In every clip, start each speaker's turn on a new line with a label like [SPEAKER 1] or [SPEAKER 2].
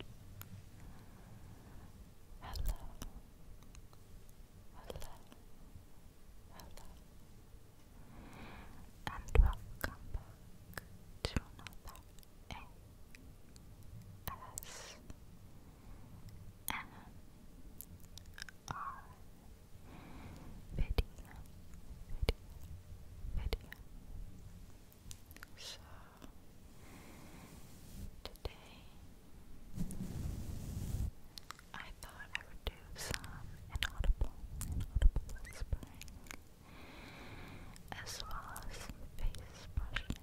[SPEAKER 1] Hello. Hello. Hello. And welcome to another A S M R video video video so today I thought I would do some inaudible, inaudible whispering as well as face brushing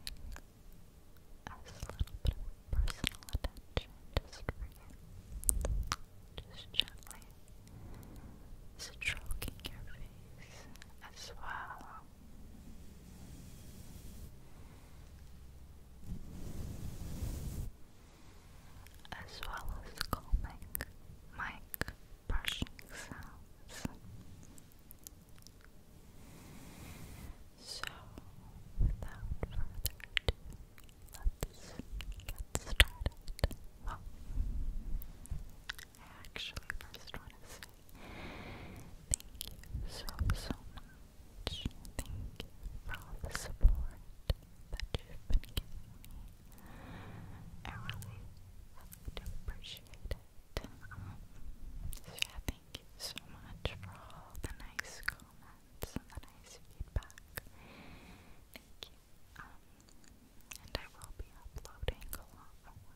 [SPEAKER 1] as a little bit of personal attention just for you. Just gently stroking your face as well as well as calming mic brushing sounds. So, without further ado, let's get started. I actually first want to say thank you so, so much. Thank you for all the support that you've been giving me. I really, do appreciate it. so yeah, thank you so much for all the nice comments and the nice feedback. Thank you. Um, and I will be uploading a lot more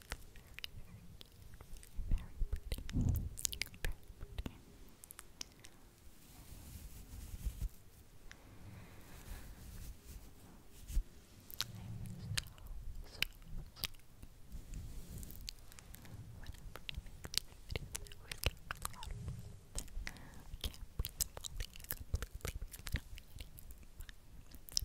[SPEAKER 1] Very pretty. Very pretty. I'm so, so, so Whenever I make these videos, I always get really out of breath. I can't breathe fully, completely, because I'm eating. But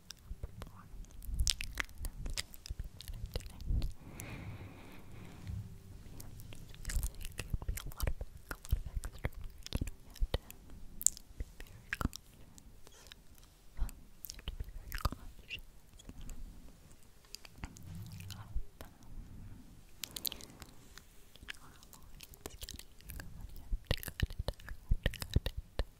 [SPEAKER 1] perform tonight. Be a lot of a lot of extra work. You know, you have to be very conscious. Well, you have to be very conscious of um, you know how long it's getting. You have to cut it. You have to cut it.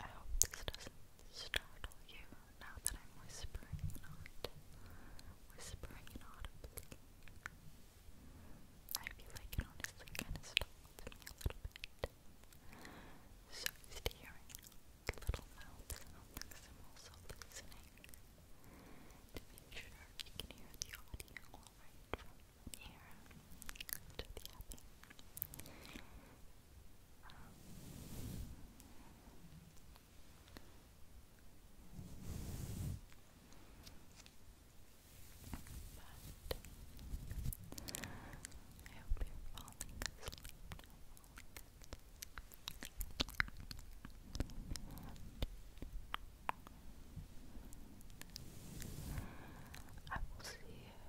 [SPEAKER 1] I hope this doesn't startle you now that I'm whispering not whispering inaudibly. I feel like it honestly kind of startled me a little bit. So used to hearing little mouth sounds, I'm also listening to make sure you can hear the audio here to the oven. Um, but I hope you're falling asleep. Falling asleep. And I will see you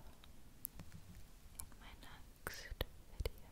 [SPEAKER 1] in my next video.